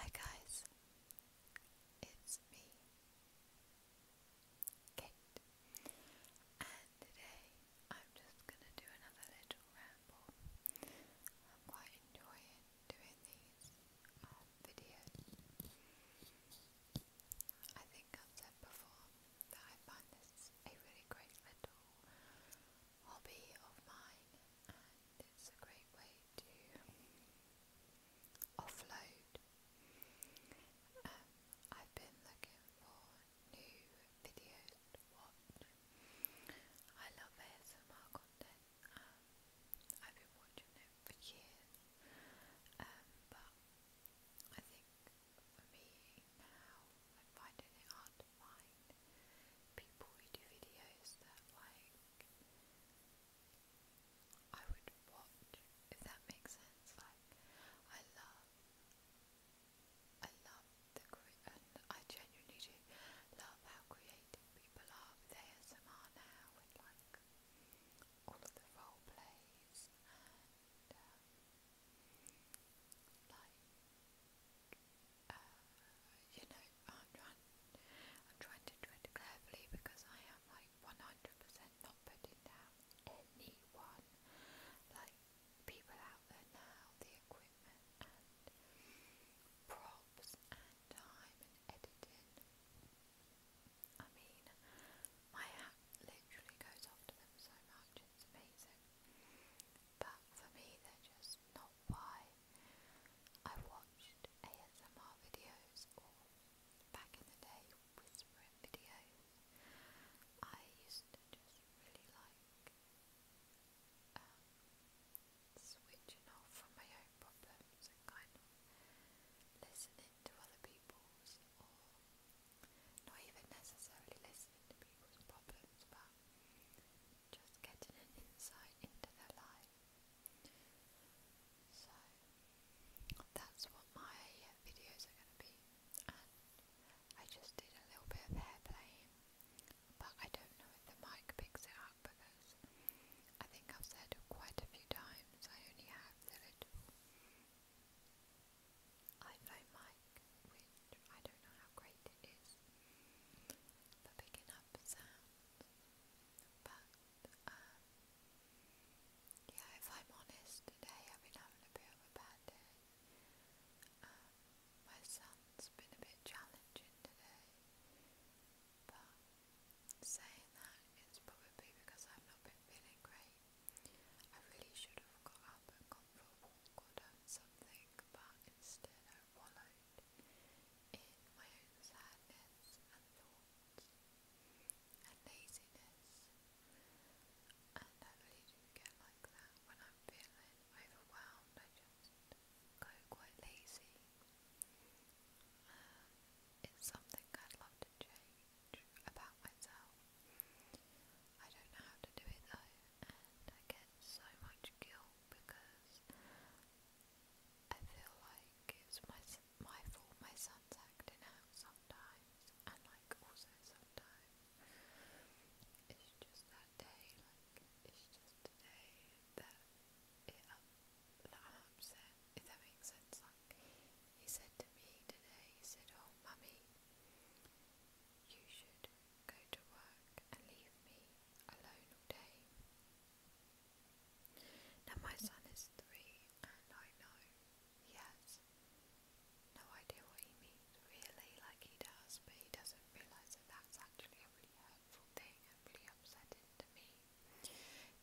Hi guys, it's me, Kate, and today I'm just gonna do another little ramble. I'm quite enjoying doing these um, videos. I think I've said before that I find this a really great little hobby of mine, and it's a great way to offload. Um, I've been looking for new videos I love ASMR content. Um, I've been watching it for years, um, but I think for me now, I'm finding it hard don't people who do videos that like I would watch, if that makes sense. Like I love I love the and I genuinely do love how creative people are with ASMR now with like all of the role plays and um, uh, you know, I'm trying, I'm trying to tread carefully because I am like 100% not putting down anyone. Like people out there now, the equipment props and time and editing. I mean, my app literally goes after them so much, it's amazing but for me they're just not why I watched ASMR videos or back in the day whispering videos. I used to just really like um, switching off from my own problems and kind of listening to other people's or not even necessarily listening to people's problems but just getting an insight into their life. So that's what my videos are going to be, I just did a little bit of hair playing, but I don't know if the mic picks it up because I think I've said quite a few times I only have the little iPhone mic, which I don't know how great it is for picking up sound, but um, yeah, if I'm honest, today I've been having a bit of a bad day. Um, my son's been a bit challenging today, but saying that is probably because I've not been feeling great. I really should have got up and gone for a caught something, but instead I wallowed in my own sadness and thoughts and laziness. And I really do get like that when I'm feeling overwhelmed. I just go quite lazy. Um, it's something I'd love to change about myself. I don't know how to do it though, and I get so much guilt because I feel like it's my my fault my son's acting out sometimes, and like also sometimes it's just that day, like it's just a day that it um, that I'm upset. If that makes sense, like he said to me today, he said, "Oh, mummy." You should go to work and leave me alone all day. Now, my son is three, and I know he has no idea what he means, really, like he does, but he doesn't realise that that's actually a really hurtful thing and really upsetting to me.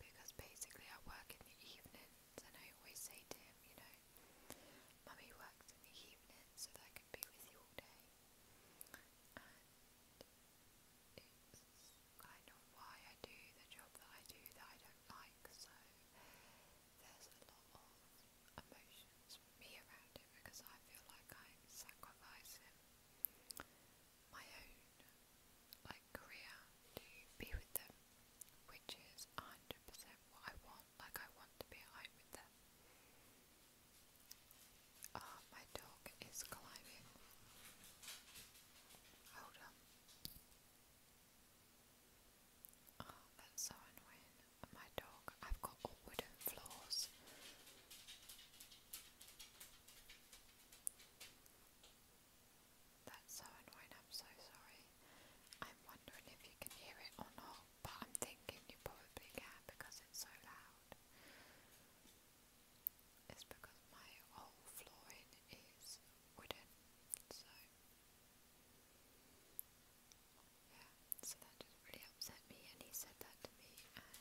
Because basically, I work in the evening and I always say to him, you know, Mummy works in the evening so that I can be with you all day. And it's kind of why I do the job that I do that I don't like, so there's a lot of emotions me around it because I feel like I'm my own like career to be with them, which is 100% what I want felt like I want to be home with them. Ah, my dog is climbing. Hold on. Oh, that's so annoying. My dog, I've got wooden floors. That's so annoying, I'm so sorry. I'm wondering if you can hear it or not, but I'm thinking you probably can because it's so loud. It's because my whole flooring is wooden, so. Yeah, so that just really upset me, and he said that to me, and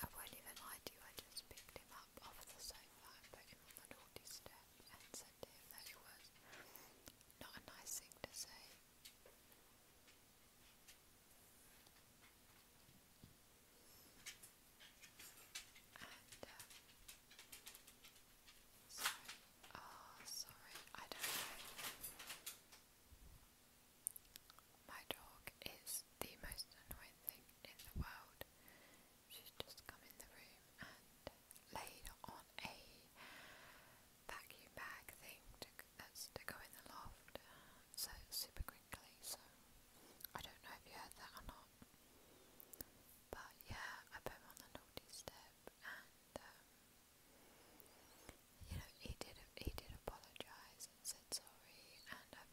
I won't even lie to you, I just picked him up up off the sofa put him on the naughty and said him that it not a nice thing to say. Um, ah, sorry, I don't know. My dog is the most annoying thing in the world she's just come in the room and laid on a vacuum bag thing to, that's to go in the loft, so super quickly. So I don't know if you heard that or not, but yeah, I put him on the naughty step, and um, you know he did he did apologise and said sorry, and I felt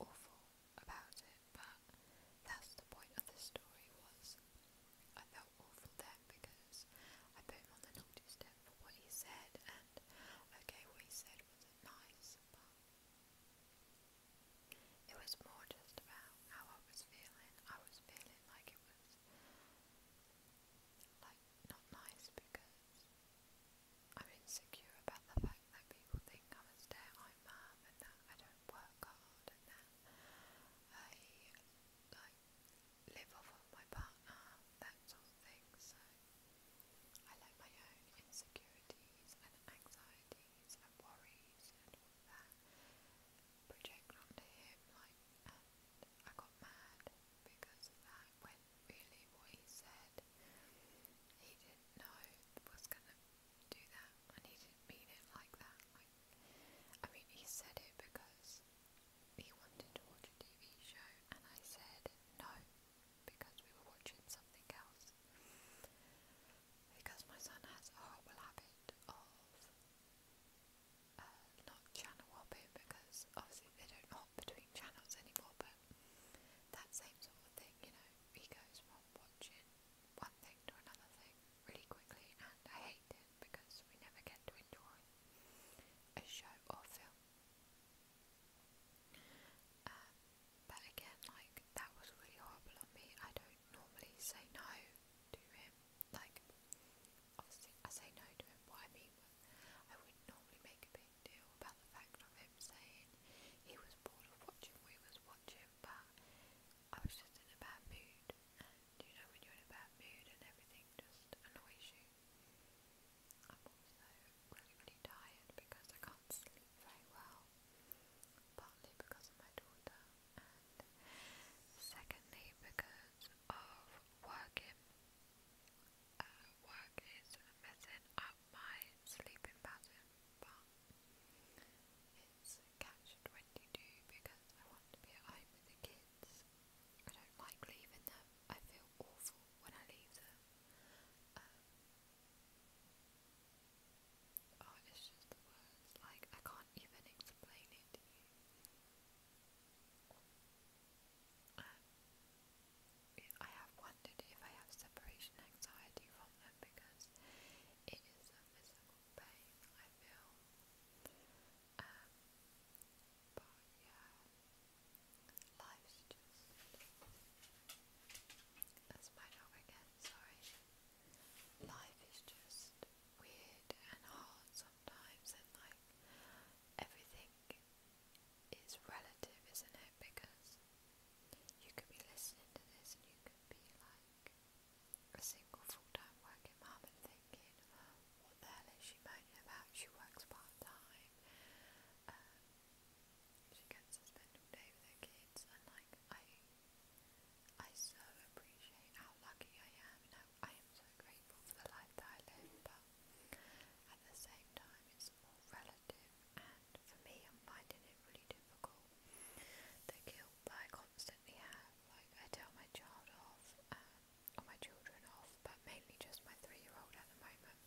awful about it, but that's the point of the story was I felt awful then because I put him on the naughty step for what he said and okay what he said was nice but it was more just about how I was feeling. I was feeling like it was like not nice because I'm insecure about the fact fact that people think I'm a stay-at-home mum and that I don't work hard and that I like live off of my partner, that sort of thing. So I let my own insecurities and anxieties and worries and all that project onto him, like, and I got mad because of that when really what he said he didn't know was gonna do that, and he didn't mean it like that. Like, I mean, he said it because he wanted to watch a TV show, and I said no because we were watching something else. Because my son has a horrible habit of uh, not channel hopping because obviously they don't hop between channels anymore, but that same sort of thing, you know, he goes from watching one thing to another thing really quickly, and I hate it because we never get to enjoy a show or film. Um, but again, like, that was really horrible on me. I don't normally say no to him. Like, I say no to him. What I mean I would normally make a big great deal about the fact of him saying he was bored of watching we was watching, but I was just in a bad mood, you know when you're in a bad mood and everything just annoys you. I'm also really really tired because I can't sleep very well, partly because of my daughter, and secondly because of working. Uh, work is messing up my sleeping pattern, but it's catch 22 because I want to be at home with the kids. I don't like leaving them, I feel awful when I leave them. Um, oh, it's just the words, like, I can't even explain it to you. Um, I have wondered if I have separation anxiety from them because it is a physical pain I feel. Um, but yeah, life's just. That's my dog again, sorry. Life is just weird and hard sometimes, and like everything is relative, isn't it? Because you could be listening to this and you could be like a single full time working mum and thinking, what the hell is she moaning about? She works part time, um, she gets to spend all day with her kids, and like, I, I so appreciate how lucky I am, and I, I am so grateful for the life that I live, but at the same time, it's all relative for me, I'm finding it really difficult. The guilt I constantly have, like I tell my child off, um, or my children off, but mainly just my three-year-old at the moment,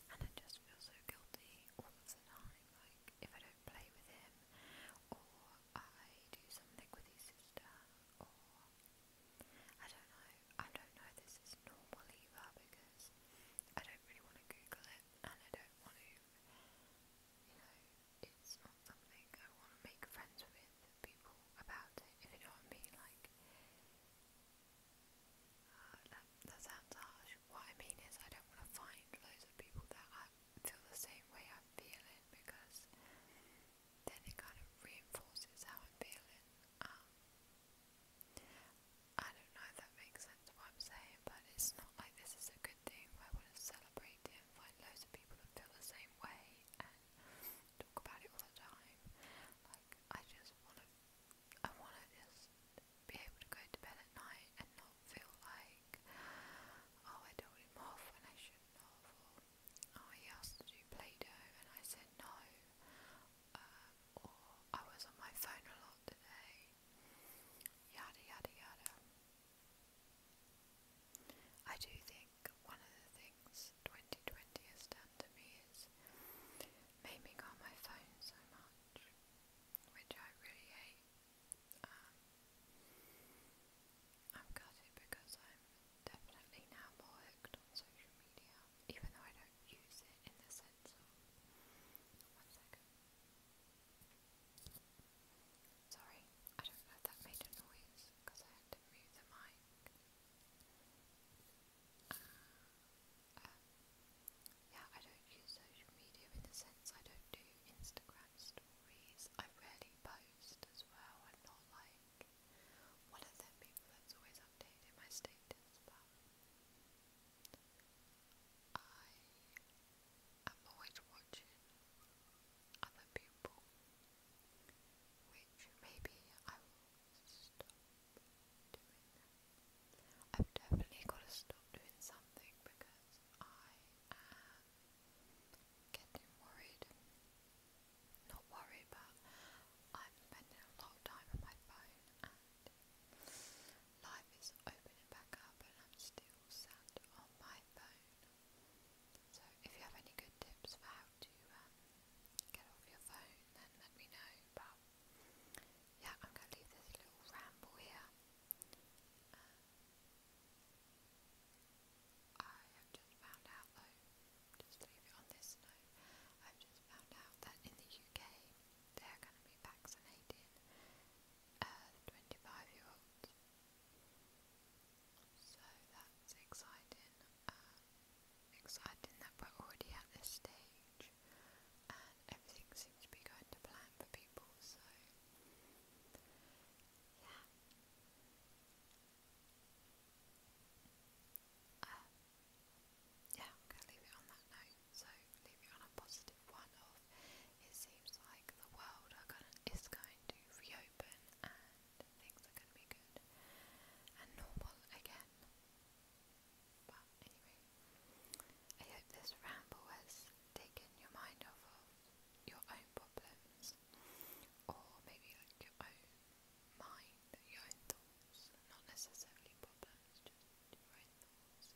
and I just feel so guilty all the time. Like if I don't play with him, or I do something with his sister, or I don't know. I don't know this is normal either because I don't really want to Google it and I don't want to, you know, it's not something I want to make friends with people about it, if you know what I mean. Like, uh, that, that sounds harsh. What I mean is, I don't want to find loads of people that feel the same way I'm feeling because then it kind of reinforces how I'm feeling. Um, I don't know if that makes sense what I'm saying, but it's not like this is a good thing. I want to celebrate it and find loads of people that feel the same way and talk about it all the time. Like I just want to, I want to just be able to go to bed at night and not feel like, oh, I don't want him oh, he do Play-Doh, and I said no, um, or I was on my phone a lot today, yada yada yada. I do think one of the things 2020 has done to me is made me go on my phone so much, which I really hate. Um, I've got because I'm definitely now more hooked on social media, even though I don't use it in the sense of. Sorry, I don't know if that made a noise because I had to move the mic. Uh, um, yeah, I don't use social media in the sense I don't do Instagram stories. I rarely post as well. i not like one of them people that's always updating my status, but I am always watching other people, which maybe I will stop doing I've definitely got to stop doing something because I am getting worried. Not worried, but I'm spending a lot of time on my phone life is opening back up and I'm still sat on my phone. So if you have any good tips for how to um, get off your phone, then let me know. But yeah, I'm going to leave this little ramble here. Uh, I have just found out though, just leave it on this note, I've just found out that in the UK they're going to be vaccinating the 25 year olds. So that's exciting. exciting that we're already at this stage and everything seems to be going to plan for people, so yeah. Um, yeah, I'm going to leave it on that note. So, leave it on a positive one it seems like the world is going to reopen and things are going to be good and normal again. But anyway, I hope this ramble has taken your mind off your own problems or maybe like your own mind, your own thoughts, not necessarily problems, just your own thoughts.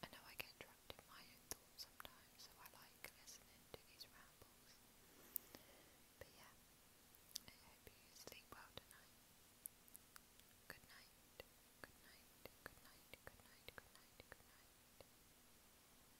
I know I get trapped in my own thoughts sometimes, so I like listening to these rambles. But yeah, I hope you sleep well tonight. Good night, good night, good night, good night, good night, good night.